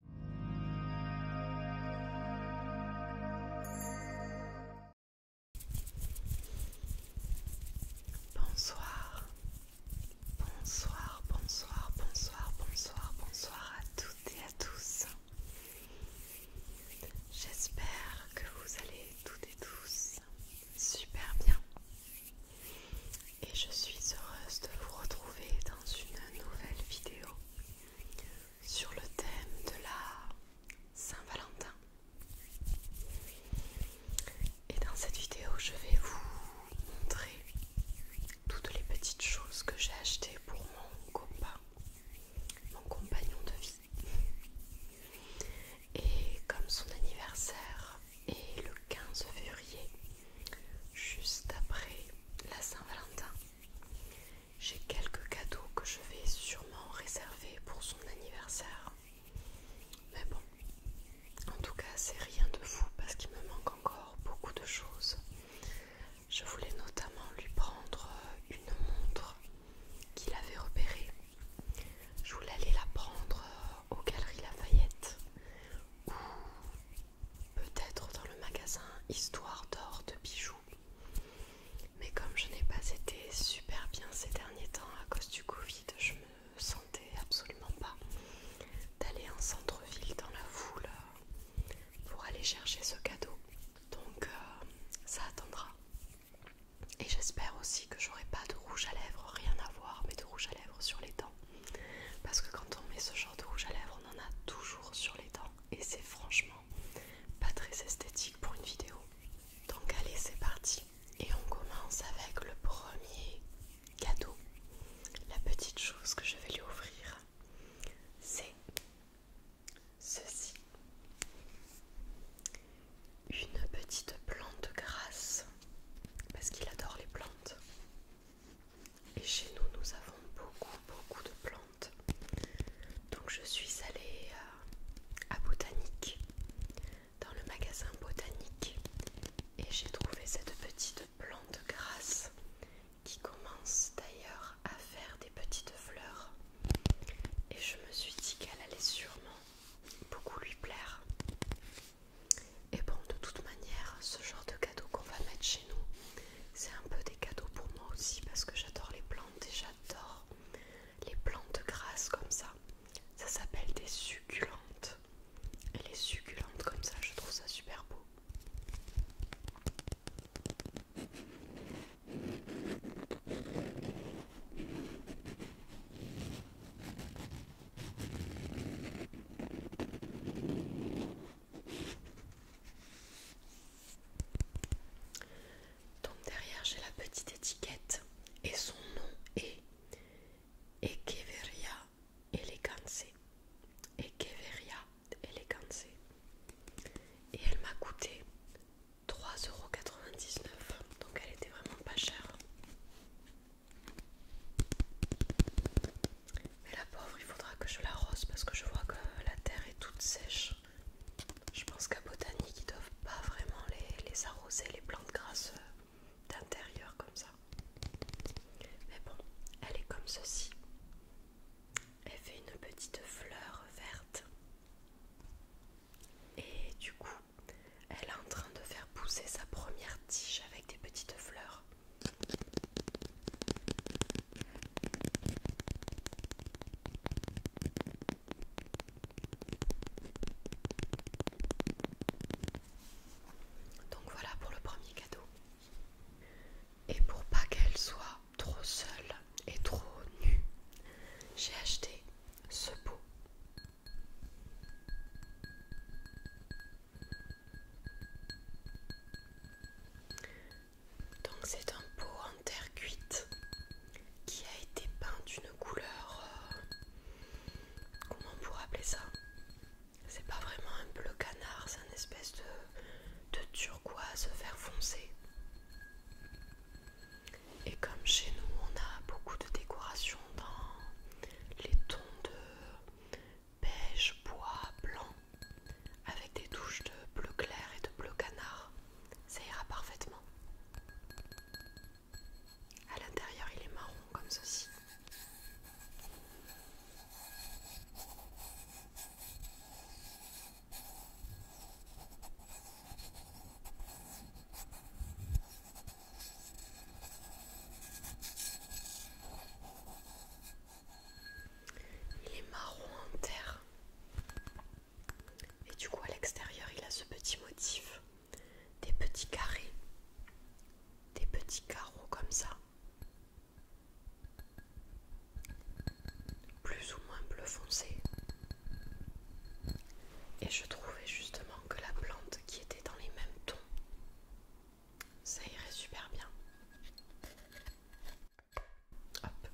Bonsoir, bonsoir, bonsoir, bonsoir, bonsoir, bonsoir à toutes et à tous. J'espère que vous allez toutes et tous super bien. Et je suis heureuse de vous retrouver dans une nouvelle vidéo sur le thème de la Saint-Valentin. Et dans cette vidéo, je vais vous montrer toutes les petites choses que j'ai achetées pour mon copain, mon compagnon de vie. Et comme son anniversaire est le 15 février, juste après la Saint-Valentin, j'ai quelques cadeaux que je vais sûrement réserver pour son anniversaire. Mais bon, en tout cas, c'est rien de fou parce qu'il me manque encore beaucoup de choses. Je voulais notamment lui prendre une montre qu'il avait repérée. Je voulais aller la prendre aux Galeries Lafayette peut-être dans le magasin Histoire d'or de bijoux. Mais comme je n'ai pas été super bien ces derniers temps à cause du Covid, je me sentais absolument pas d'aller en centre-ville dans la foule euh, pour aller chercher ce cadeau. Donc euh, ça attendra. Et j'espère aussi que j'aurai pas de rouge à lèvres, rien à voir, mais de rouge à lèvres sur les dents. Parce que quand on met ce genre de rouge à lèvres, on en a toujours sur les dents. Et c'est franchement pas très esthétique pour une vidéo. Donc allez, c'est parti. Et on commence avec le premier cadeau. La petite chose que je vais lui offrir, c'est ceci. Une petite plante grasse. Parce qu'il adore les plantes. Et chez nous, nous avons beaucoup, beaucoup de plantes. Donc je suis allée euh, à, Botanique, dans le magasin Botanique, et j'ai trouvé cette petite plante grasse qui commence d'ailleurs à faire des petites fleurs. Et je me suis dit qu'elle allait sûrement beaucoup lui plaire. Et bon, de toute manière, ce genre de cadeau qu'on va mettre chez nous, c'est un peu des cadeaux pour moi aussi parce que j'adore les plantes et j'adore les plantes grasses comme ça. Ça s'appelle des succulentes. les succulentes comme ça, je trouve ça super beau. Donc derrière j'ai la petite étiquette et son nom est Ekeveria Elegance. Ekeveria Elegance. Et elle m'a coûté 3,99€. Donc elle était vraiment pas chère. Mais la pauvre, il faudra que je l'arrose parce que je vois que la terre est toute sèche. Je pense qu'à Botanique, ils doivent pas vraiment les, les arroser, les plantes grasses d'intérieur comme ça. Mais bon, elle est comme ceci. Elle fait une petite fleur verte. Et du coup, elle est en train de faire pousser sa première tige avec des petites fleurs. Donc voilà pour le premier cadeau. Et pour pas qu'elle soit trop seule et trop nue, j'ai acheté ce pot. Donc c'est un pot en terre cuite qui a été peint d'une couleur... Euh, comment on pourrait appeler ça C'est pas vraiment un bleu canard, c'est un espèce de, de turquoise vert foncé. Et comme chez nous on a beaucoup de décorations dans les tons de beige bois blanc avec des touches de bleu clair et de bleu canard. Ça ira parfaitement. À l'intérieur, il est marron comme ceci. Il est marron en terre. Et du coup, à l'extérieur, il a ce petit motif. Des petits carrés. Des petits carreaux comme ça. Plus ou moins bleu foncé. Et je trouvais justement que la plante qui était dans les mêmes tons ça irait super bien. Hop.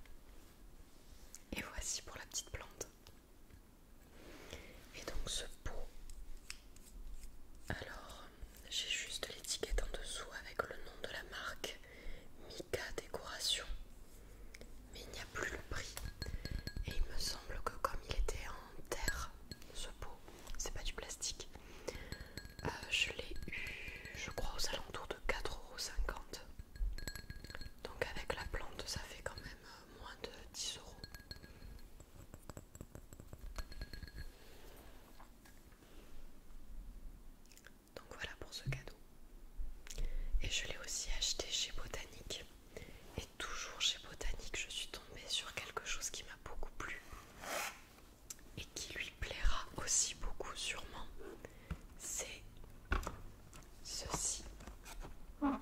Et voici pour la petite plante. Et donc ce pot. Alors, j'ai juste l'étiquette en dessous avec le nom de la marque Mika Décoration. Mais il n'y a plus le prix. Et il me semble que comme il était en terre, ce pot, c'est pas du plastique, euh, je l'ai eu, je crois, aux alentours de 4,50€. Donc avec la plante, ça fait quand même euh, moins de 10 euros. Donc voilà pour ce cadeau. Et je l'ai aussi acheté chez Botanique. Et toujours chez Botanique, je suis tombée sur quelque chose qui m'a beaucoup plu et qui lui plaira aussi beaucoup sûrement, c'est ceci. Alors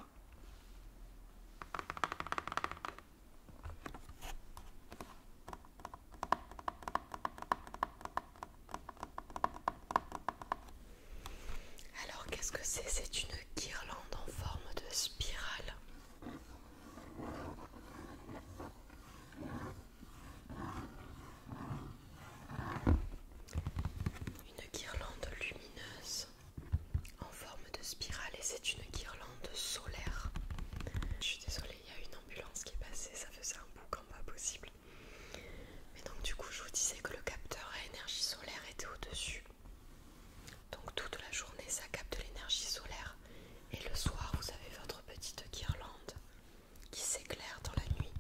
qu'est-ce que c'est C'est une guirlande en forme de spirale. Une guirlande lumineuse en forme de spirale et c'est une guirlande solaire. Je suis désolée, il y a une ambulance qui est passée, ça faisait un bouc en pas possible. Mais donc du coup je vous disais que le capteur à énergie solaire était au-dessus. Donc toute la journée ça capte l'énergie solaire et le soir vous avez votre petite guirlande qui s'éclaire dans la nuit.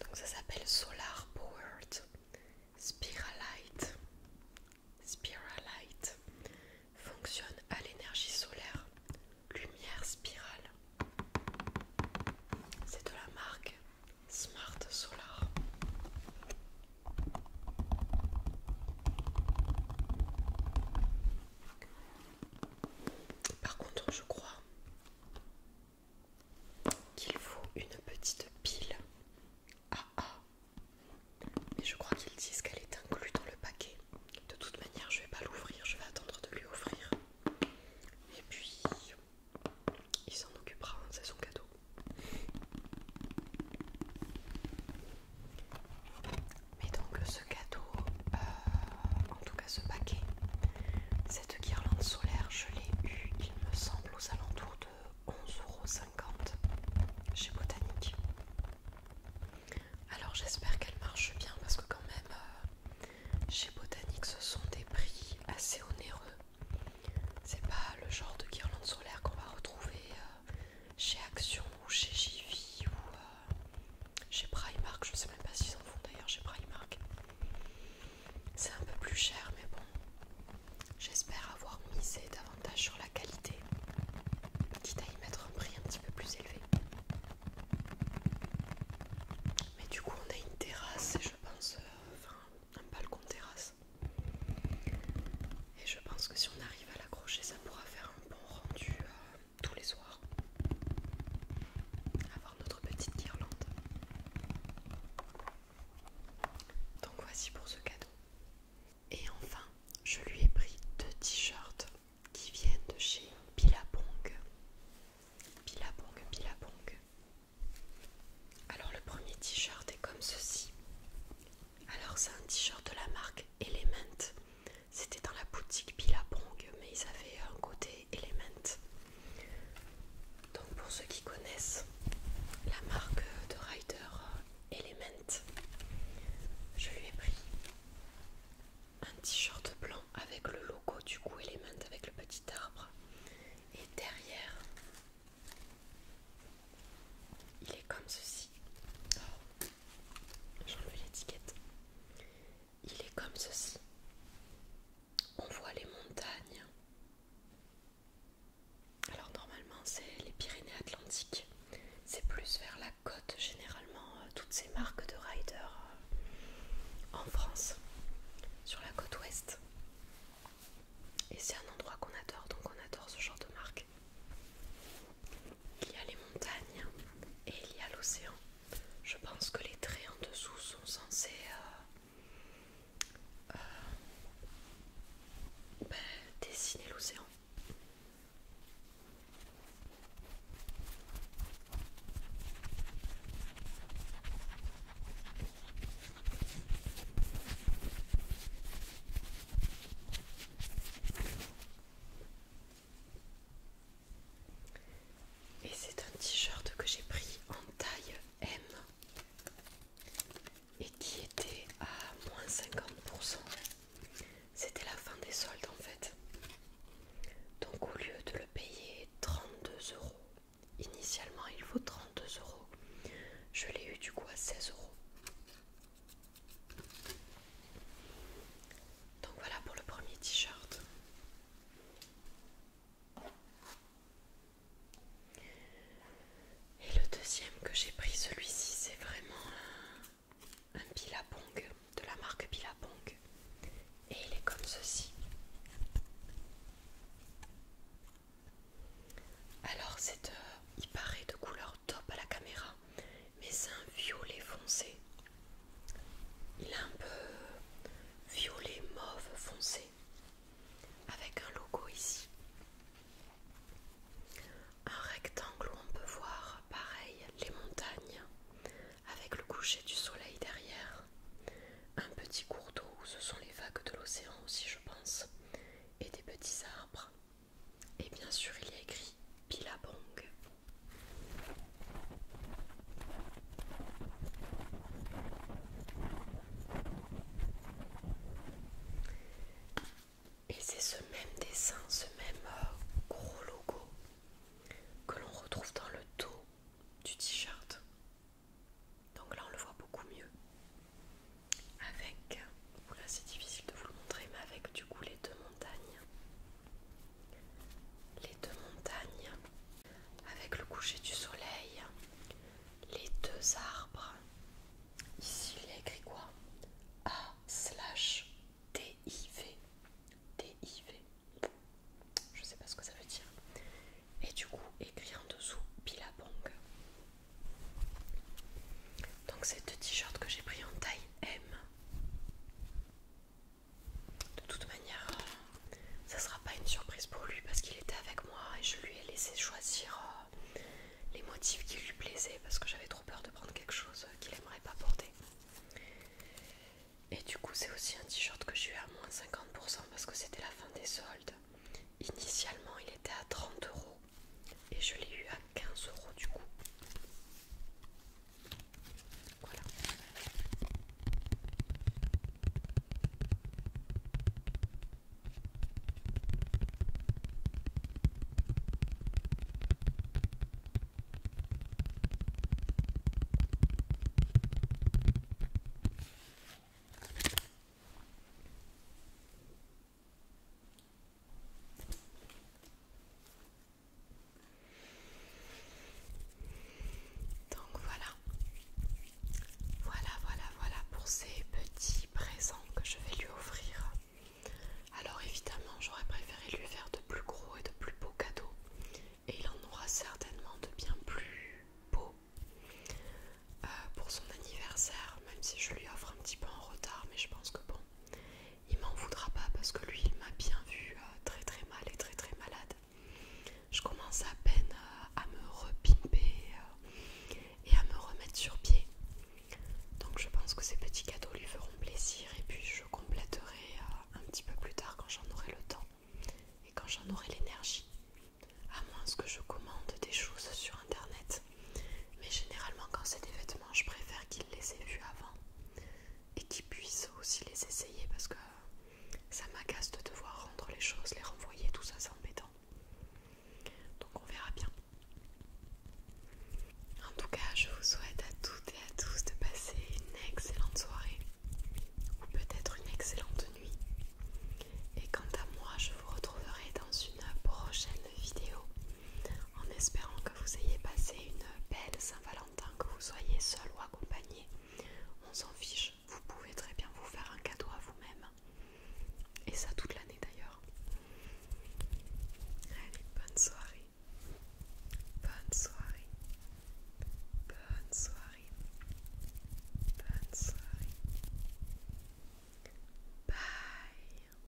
Donc ça s'appelle Solar Powered Spiralite. Spiralite fonctionne à l'énergie solaire, lumière spirale. C'est de la marque Smart Solar. Par contre, je crois qu'il faut une petite pile AA. Ah, ah. Mais je crois qu'ils disent qu'elle est inclue dans le paquet. De toute manière, je vais pas l'ouvrir, je vais attendre de lui offrir. Et puis, il s'en occupera, hein, c'est son cadeau. Mais donc ce cadeau, euh, en tout cas ce paquet, cette guirlande solaire, je l'ai eu, il me semble, aux alentours de 11,50€ chez Botanique. Alors j'espère qu'elle marche bien parce que quand même euh, chez Botanique ce sont des prix assez onéreux. C'est pas le genre de guirlande solaire qu'on va retrouver euh, chez Action ou chez JV ou euh, chez Primark, je ne sais même pas s'ils en font d'ailleurs chez Primark. C'est un peu plus cher mais bon, j'espère avoir misé davantage sur la qualité, quitte à y mettre un prix un petit peu plus élevé. Mais du coup on a une terrasse et je pense, euh, enfin un balcon terrasse. Et je pense que si on arrive à l'accrocher, ça pourra faire un bon rendu euh, tous les soirs. Avoir notre petite guirlande. Donc voici pour ce cadeau. Et enfin, je lui ai pris deux t-shirts qui viennent de chez Pilapong Pilapong, Pilapong Alors le premier t-shirt est comme ceci. Alors c'est un t-shirt de la marque Element. C'était dans la boutique Billabong, mais ils avaient un côté Element. Donc pour ceux qui connaissent la marque de rider euh, Element, je lui ai pris un t-shirt blanc avec le logo du coup Element avec le petit arbre. Et derrière, il est comme ceci. Oh. J'enlève l'étiquette. Il est comme ceci. On voit les montagnes. Alors normalement c'est les Pyrénées-Atlantiques. C'est plus vers la côte généralement euh, toutes ces marques de riders euh, en France, sur la côte ouest. Et c'est un endroit qu'on adore, donc on adore ce genre de marque. Il y a les montagnes et il y a l'océan. Je pense que les traits en dessous sont censés euh, euh, ben, dessiner l'océan. Et c'est un t-shirt que j'ai pris en taille M et qui était à moins 50%. C'était la fin des soldes en fait. Donc au lieu de le payer 32 euros, initialement il vaut 32 euros. Je l'ai eu du coup à 16 euros. Donc voilà pour le premier t-shirt. Et le deuxième que j'ai pris, celui-ci, c'est vraiment un, Pilapong, de la marque Pilapong Et il est comme ceci. Alors, c'est euh, il paraît de couleur top à la caméra, mais c'est un violet foncé. Il est un peu violet mauve foncé avec un logo ici. Un rectangle où on peut voir pareil les montagnes avec le coucher du soleil derrière. Un petit cours d'eau où ce sont les vagues de l'océan aussi je pense et des petits arbres. Et bien sûr, il y a écrit PILABONG Et c'est ce même dessin, ce même euh, gros logo que l'on retrouve dans le dos du t-shirt. Donc là, on le voit beaucoup mieux. Avec c'est difficile de vous le montrer, mais avec du coup les deux montagnes. Les deux montagnes, avec le coucher du soleil, les deux arbres. Ici, il y écrit quoi A slash DIV. DIV. Je sais pas ce que ça veut dire. Et du coup, écrit en dessous Pilapong. Donc, c'est deux t-shirts que j'ai pris en taille M. De toute manière, ça sera pas une surprise pour lui parce qu'il était avec moi et je lui ai laissé choisir euh, les motifs qui lui plaisaient parce que j'avais trop peur de prendre quelque chose qu'il aimerait pas porter. Et du coup, c'est aussi un t-shirt que j'ai eu à moins 50% parce que c'était la fin des soldes. Initialement, il était à 30 euros et je l'ai eu à 15 euros du coup. Voilà. Donc voilà, voilà, voilà, voilà pour ces petits présents que je vais lui offrir. Alors évidemment, j'aurais préféré lui faire de plus gros et de plus beaux cadeaux. Et il en aura certainement de bien plus beaux euh, pour son anniversaire, même si je lui offre un petit peu en retard, mais je pense que bon, il m'en voudra pas parce que lui il m'a bien vu euh, très très mal et très très malade. Je commence à peine euh, à me repimper euh, et à me remettre sur pied. Donc je pense que ces petits cadeaux lui feront plaisir et puis je compléterai un petit peu plus tard quand j'en aurai le temps et quand j'en aurai l'énergie. À moins que je commande des choses sur internet. Mais généralement, quand c'est des vêtements, je préfère qu'ils les aient vus avant et qu'ils puissent aussi les essayer parce que ça m'agace de devoir rendre les choses, les renvoyer, tout ça, c'est embêtant. Donc, on verra bien. En tout cas, je vous souhaite à toutes et à tous de passer une excellente soirée ou peut-être une excellente nuit. Et quant à moi, je vous retrouverai dans une prochaine vidéo en espérant que vous ayez passé une belle Saint-Valentin, que vous soyez seul ou accompagné. On s'en fiche, vous pouvez très bien vous faire un cadeau à vous-même. Et ça toute l'année d'ailleurs. Allez, bonne soirée. Bonne soirée. Bonne soirée. Bonne soirée. Bye.